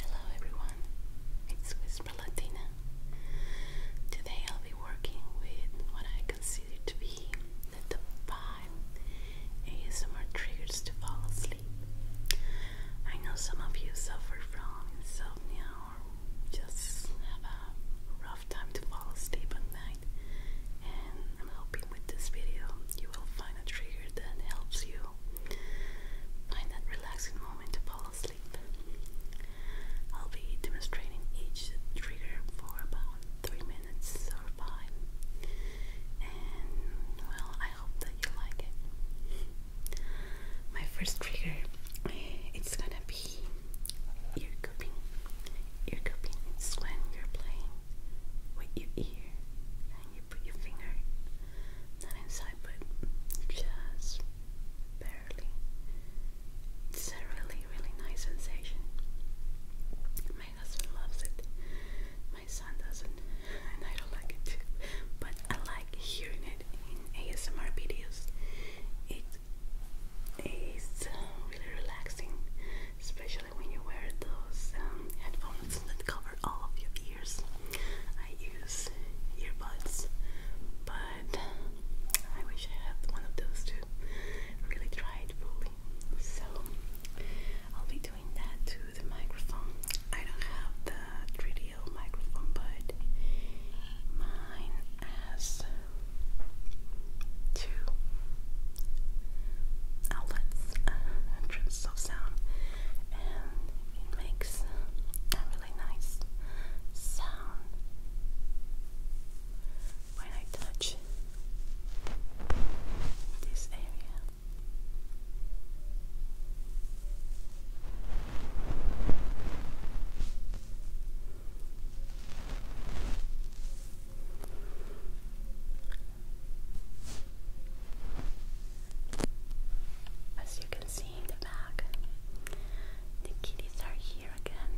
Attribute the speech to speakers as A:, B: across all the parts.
A: Hello everyone, it's Whisper Latina. Today I'll be working with what I consider to be the top 5 ASMR triggers to fall asleep. I know some of you suffer from insomnia or just have a rough time to fall asleep at night, and I'm hoping with this video you will find a trigger that helps you find that relaxing moment to fall asleep. I'll be demonstrating each trigger for about three minutes or five, and well, I hope that you like it. My first trigger, it's gonna be ear cupping. Ear cupping is when you're playing with your ear and you put your finger not inside, but just barely. It's a really, really nice sensation. My husband loves it. My son doesn't, and I don't like it. But I like hearing it in ASMR videos. It is uh, really relaxing, especially when you wear those um, headphones headphones that cover all of your ears. I use earbuds, but I wish I had one of those to really try fully. So I'll be doing that to the microphone. I don't have the 3 microphone, but mine has two outlets, uh, of sound, and it makes a really nice sound when I touch this area. As you can see in the back, the kitties are here again.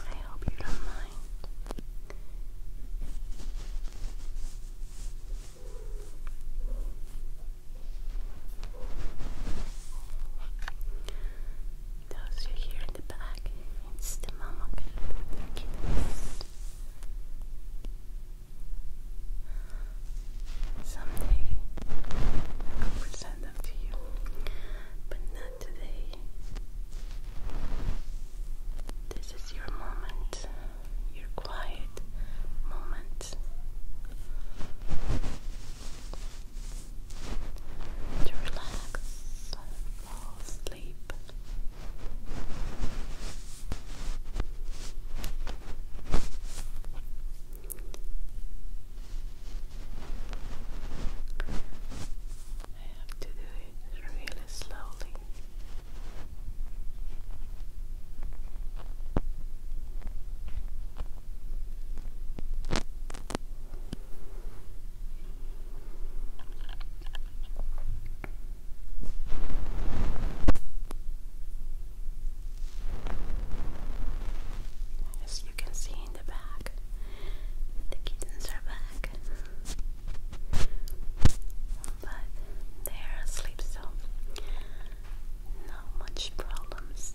A: I hope you don't mind. Those you hear in the back, it's the mama cat, the Someday I will present them to you, but not today. This is your moment, your quiet moment to relax, fall asleep. I have to do it really slowly. As you can see in the back, the kittens are back, but they are asleep, so not much problems.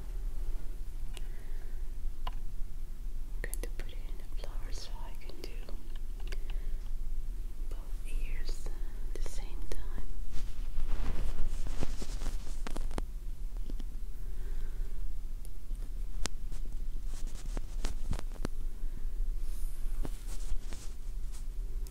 A: I'm going to put it in a flower so I can do both ears at the same time.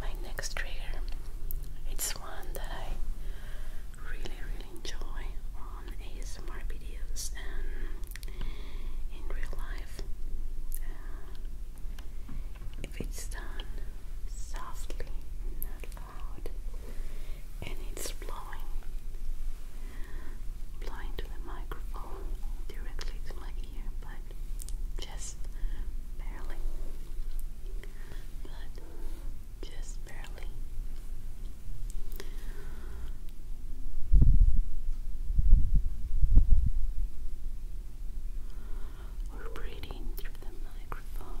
A: My next trigger it's one that I really really enjoy on ASMR videos and in real life. Uh, if it's done softly, not loud, and it's blowing, blowing to the microphone directly to my ear, but just barely. But just barely. We're breathing through the microphone.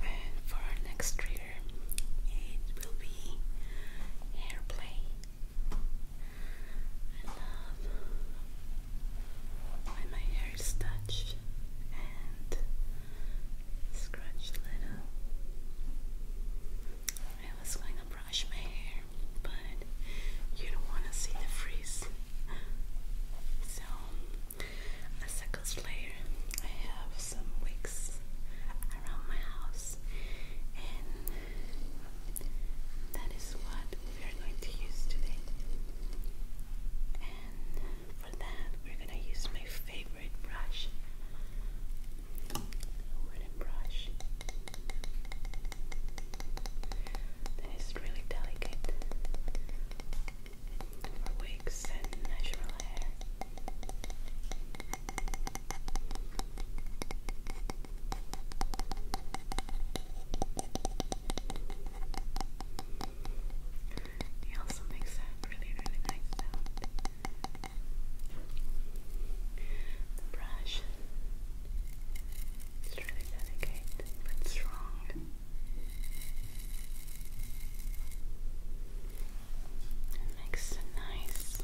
A: And for our next trigger, it will be airplay. I love when my hair is touched and scratched little. I was going to brush my hair, but you don't want to see the freeze. So, a second layer, I have some wigs around my house, and that is what we are going to use today. And for that, we're going to use my favorite brush. Wooden brush. Then it's really delicate for wigs and natural hair. It also makes a really, really nice The brush it's really delicate but strong. It makes a nice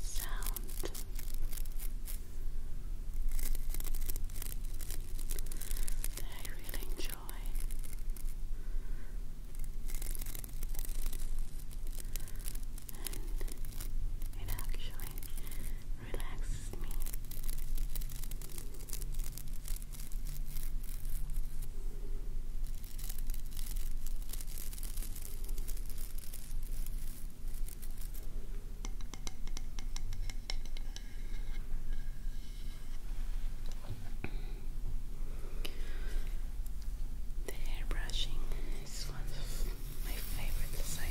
A: sound. I really enjoy. And it actually relaxes me. The hair brushing is one of my favorites I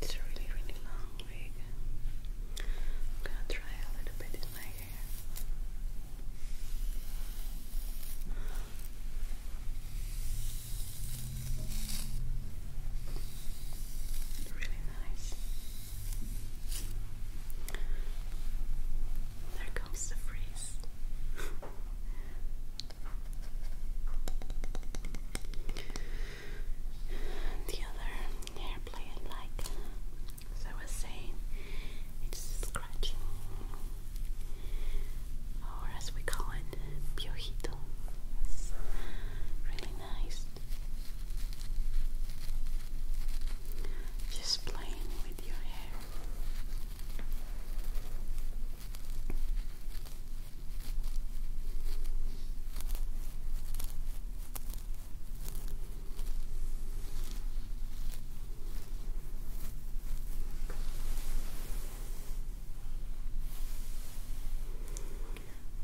A: It's a really, really long wig. I'm gonna try a little bit in my hair. Really nice. There comes the freeze. the other airplane, like as I was saying, it's scratching, or as we call it, piojito. Yes. Really nice. Just playing with your hair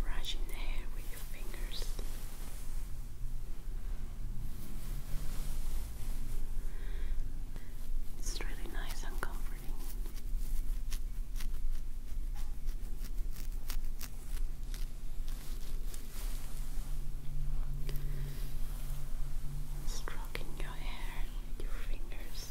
A: brushing the hair with your fingers. It's really nice and comforting. Stroking your hair with your fingers.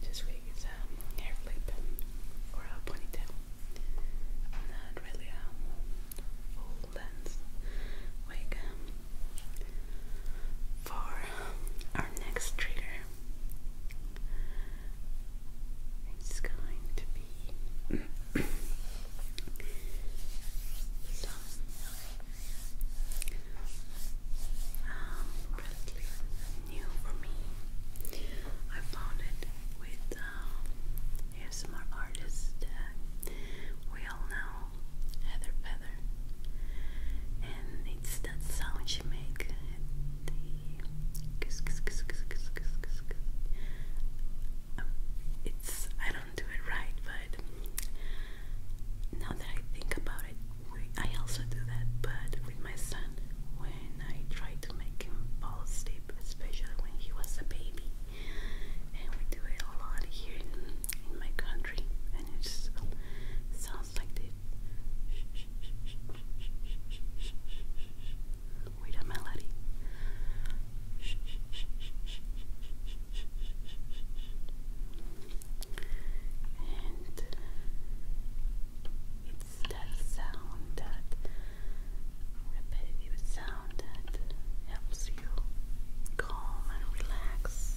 A: This wig is a hair flip or a ponytail. Not really a full length wig. For our next trigger, it's going to be um, relatively new for me. I found it with um, ASMR artist uh, we all know, Heather Feather, and it's that sound she makes the kiss, um, I also do that, but with my son, when I try to make him fall asleep, especially when he was a baby, and we do it a lot here in, my country, and it sounds like this with a melody moment. It's that sound, that repetitive sound that helps you calm and relax.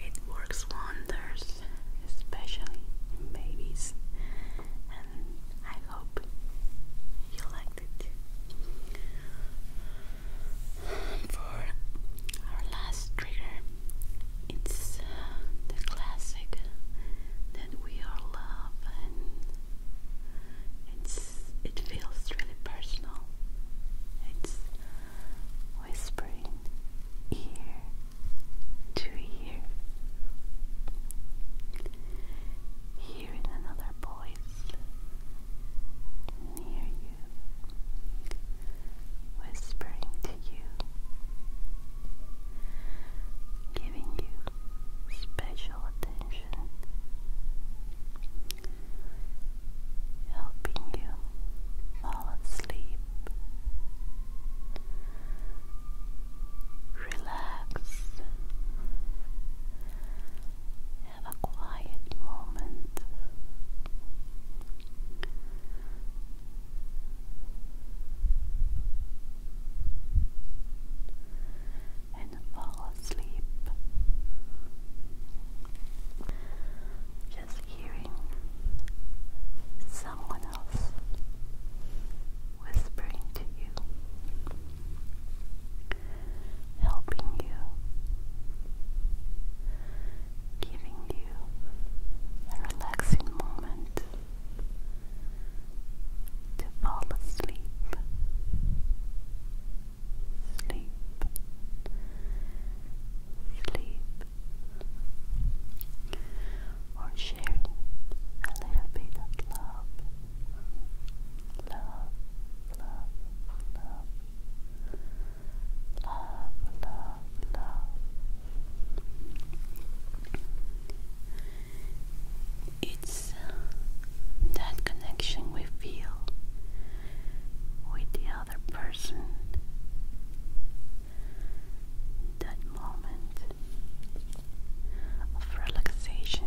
A: It works wonders, especially in babies, and I hope you liked it. For our last trigger, it's uh, the classic that we all love, and it's it feels really personal. It's whispering ear to ear, hearing another voice near you, whispering to you, giving you special attention helping you fall asleep. Relax. Have a quiet moment. And follow Sleep. Just hearing someone else whispering to you, helping you, giving you a relaxing moment to fall asleep sleep, sleep, or sharing a little bit of love, love, love, love, love, love, It's that connection we feel with the other person. That moment of relaxation.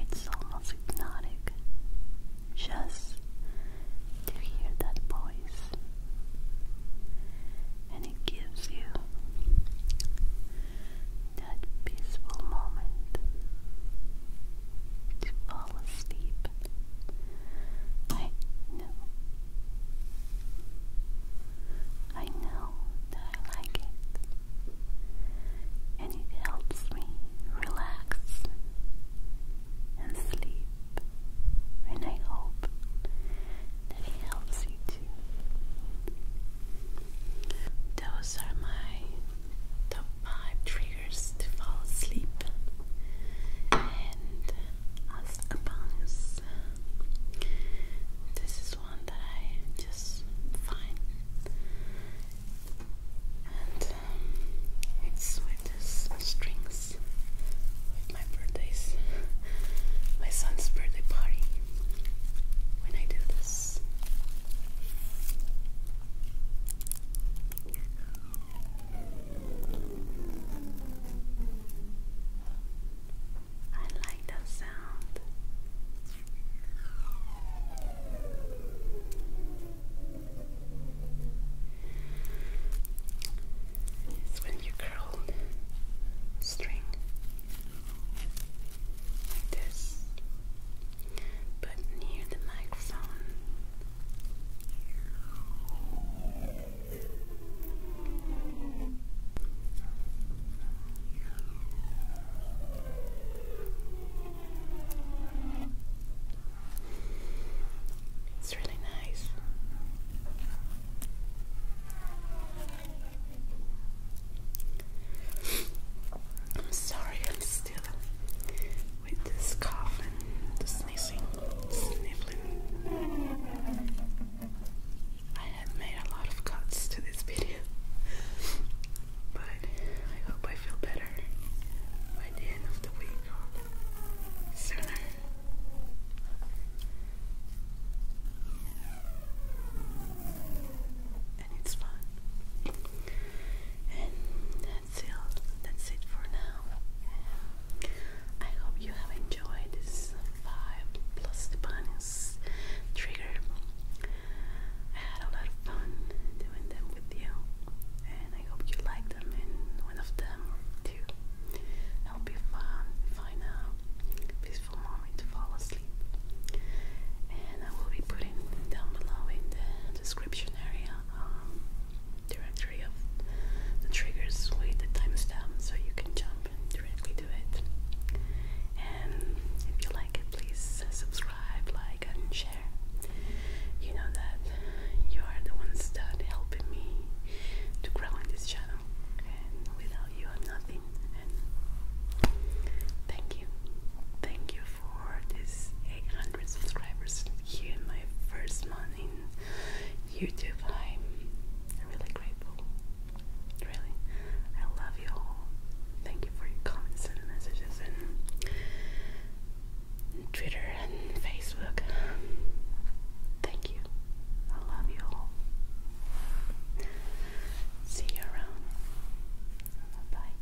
A: It's almost hypnotic just to hear that voice, and it gives you that peaceful moment to fall asleep. I know. I know that I like it. And it helps me relax and sleep. And I hope that it helps you too. Those are my top 5 triggers to fall asleep and as a bonus this is one that I just find and um, it's with this strings my birthdays my son's birthday party when I do this I like that sound. It's when you curl string like this but near the microphone. It's really nice. I'm sorry, I'm still with this cough and the sneezing, sniffling. I have made a lot of cuts to this video, but I hope I feel better by the end of the week or And it's fun that's it. That's it for now. I hope you have enjoyed this five plus the bonus trigger. I had a lot of fun doing them with you, and I hope you like them. And one of them or two, it'll be fun. Find peaceful moment to fall asleep, and I will be. Putting down below in the description area um, directory of the triggers with the timestamp so you can jump directly to it. And if you like it, please subscribe, like, and share. You know that you are the ones that helping me to grow on this channel, and without you, nothing. thank you, thank you for for this 800 subscribers here my first month in YouTube. I'm really grateful. Really. I love you all. Thank you for your comments and messages and Twitter and Facebook. Thank you. I love you all. See you around. bye.